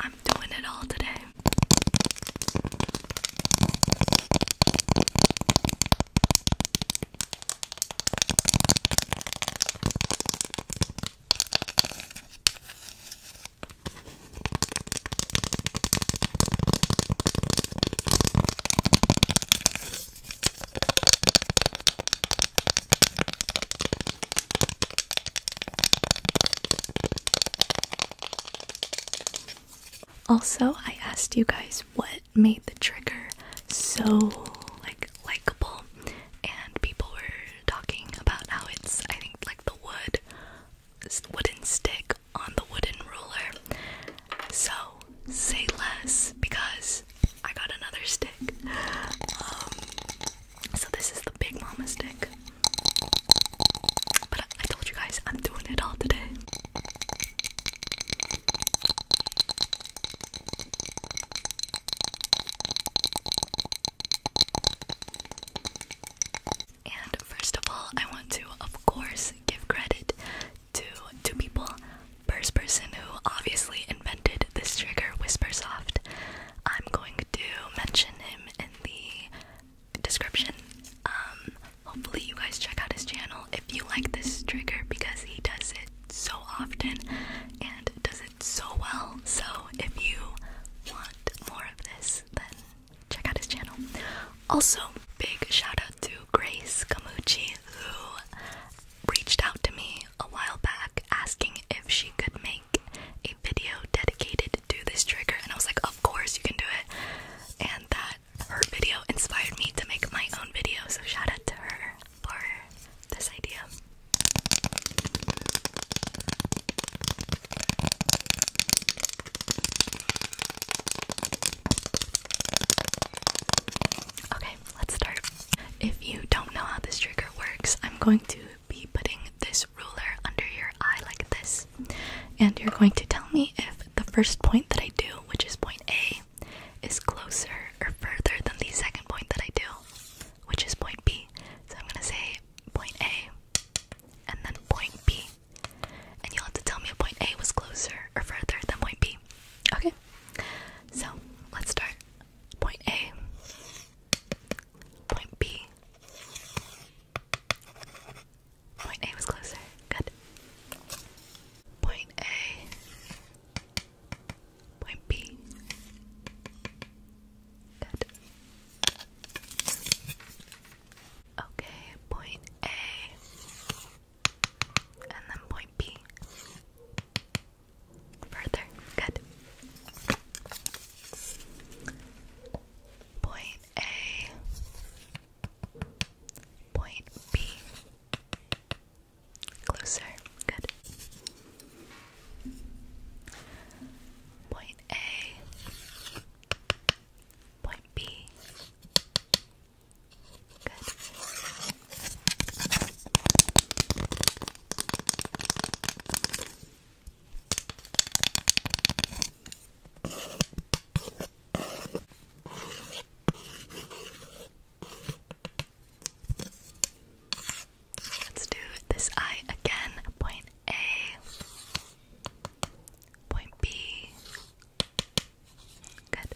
I'm doing it all today. Also, I asked you guys what made the trigger so like likable and people were talking about how it's I think like the wood wooden stick on the wooden ruler. So, say less because I got another stick. Um, so this is the Big Mama stick. But I, told you guys I'm doing it all today. And first of all, I want to, of course, give credit to two people. First person who obviously invented this trigger, Whisper Soft. I'm going to mention him in the description. Um, hopefully, you guys check out his channel if you like this trigger because he does it so often and does it so well. So, if you want more of this, then check out his channel. Also, big shout out to Grace Kamuchi who reached out to me a while back asking if she could make a video dedicated to this trigger, and I was like, Of course, you can do it. And that her video inspired me to make my own video, so shout out to her for this idea. Okay, let's start. If you don't know how this trigger works, I'm going to be putting this ruler under your eye like this. And you're going to tell me if the first point that I do, which is point A, is closer or further than the second point that I do, which is point B. So I'm going to say point A and then point B. And you'll have to tell me if point A was closer or further than point B. Okay? So let's start. Point A. Point B. Point A was closer. Good. Point A. Point B. Good. Okay, point A. And then point B. Further. Good. Point A. Point B. Closer. Good. Point A. Point B. Good. Let's do this eye again. Point A, point B. Good.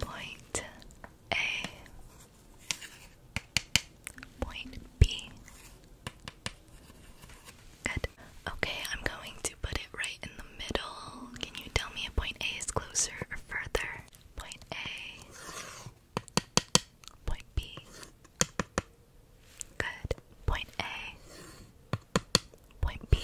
Point A. Point B. Good. Okay, I'm going to put it right in the middle. Can you tell me if point A is closer or further? Point A. Point B. Good. Point A. Point B.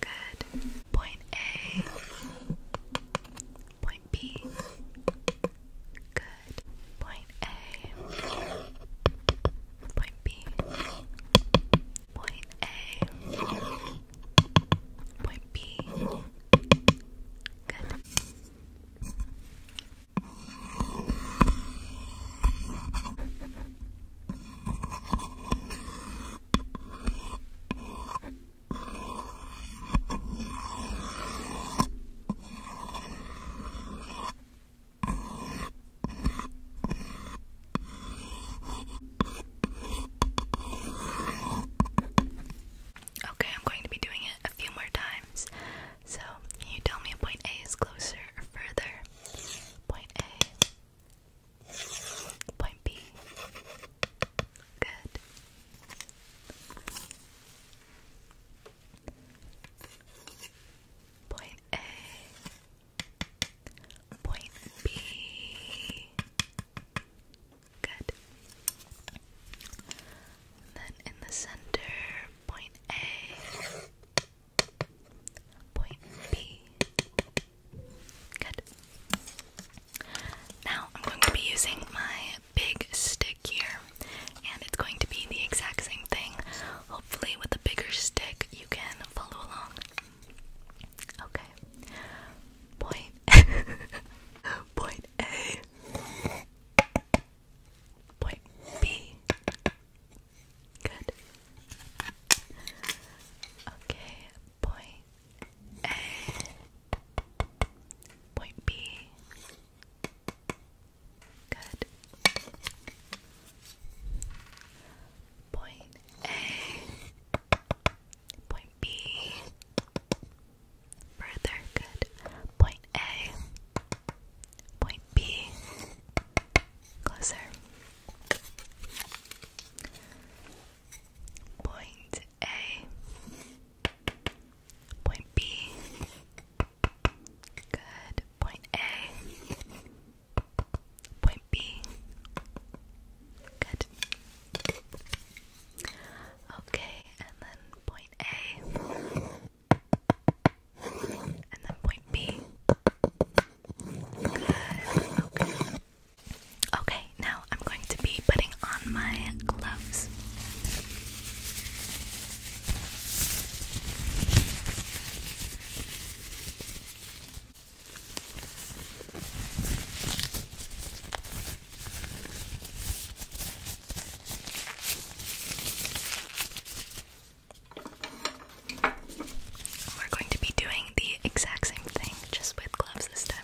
Good. Point A. Point B. Good. Point A. Point B. Point A. Point B. Good. Okay, I'm going to be doing it a few more times. So, can you tell me if point A is closer or further? Point A. Point B. Good. Point A. Point B. Good. then in the center, point A. Point B. Good. Now I'm going to be using my big stick here, and it's going to be the exact same thing. Hopefully, with a bigger stick, you can follow along. Okay. Point. Point A. Point B. Good. Okay, Point A, point B. Good. Point A, point B. Further, good. Point A, point B. Closer. Point A. Point B. Good. Point A. Point B. Good. Okay, and then point A. And then point B. Good. Okay, now I'm going to be putting on my gloves. We're going to be doing the exact same thing, just with gloves this time.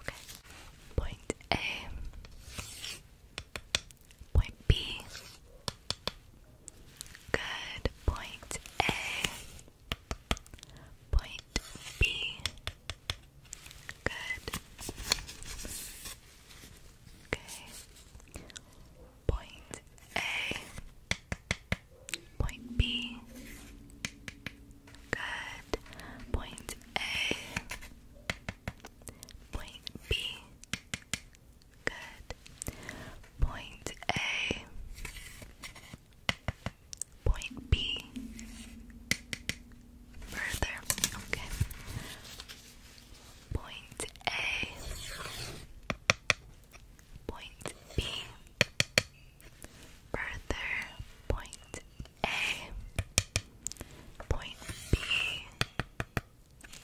Okay. Point A. Point B. Good. Point A. Point B. Good. Okay. Point A. Point B. Good. Point A. Point B. Good. Point A. Point B. Further. Okay. Point A. Point B. Further, point A, point B,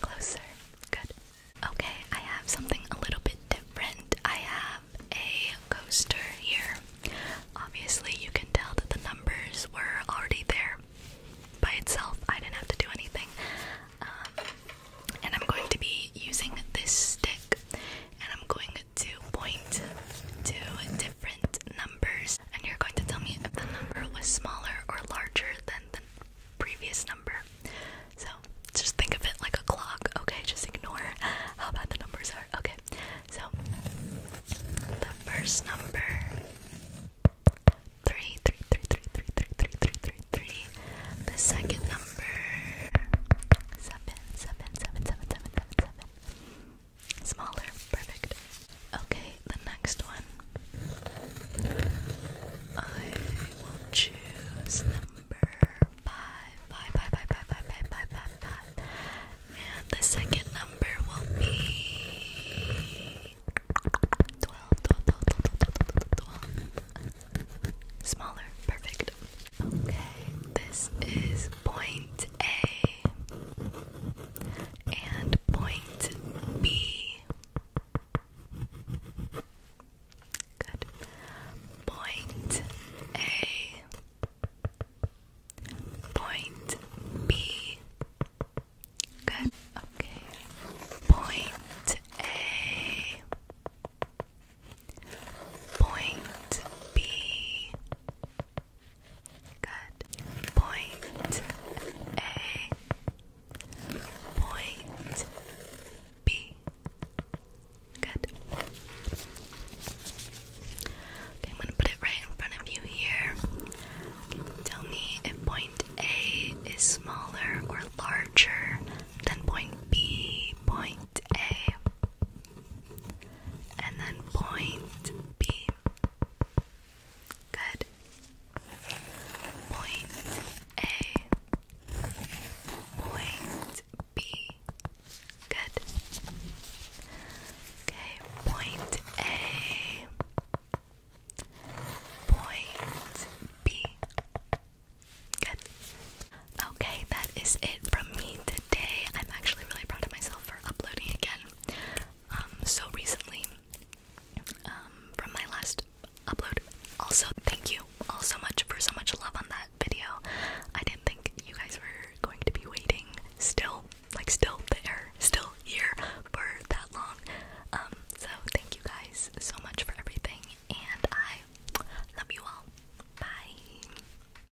closer. Good. Okay, I have something a little bit different. I have a coaster here. Obviously, you can tell that the numbers were already there by itself. I didn't have to do anything. Um, and I'm going to be using this stick and I'm going to to point to different numbers, and you're going to tell me if the number was smaller or larger than the previous number. So just think of it like a clock, okay? Just ignore how bad the numbers are. Okay, so the first number three, three, three, three, three, three, three, three, three, three. The second number seven, seven, seven, seven, seven, seven, seven. Smaller, perfect. Okay, the next one. I will choose number five, five, five, five, five. And the second number will be 12, Smaller, perfect. Okay, this is point a and point B. Good. Point A. Point B. Good. Okay. Point A. Point B. Good. Point A. Point B. Good. Okay, I'm gonna put it right in front of you here. tell me if point A is smaller or larger than point B. Point A and then point B. Good. Point A. Point B. Good. Okay, point A. Point B. Good. Okay, that is it from me today today I'm actually really proud of myself for uploading again um, so recently um, from my last upload. Also, thank you all so much for so much love on that video. I didn't think you guys were going to be waiting still, like still there, still here for that long. Um, so thank you guys so much for everything and I love you all. Bye.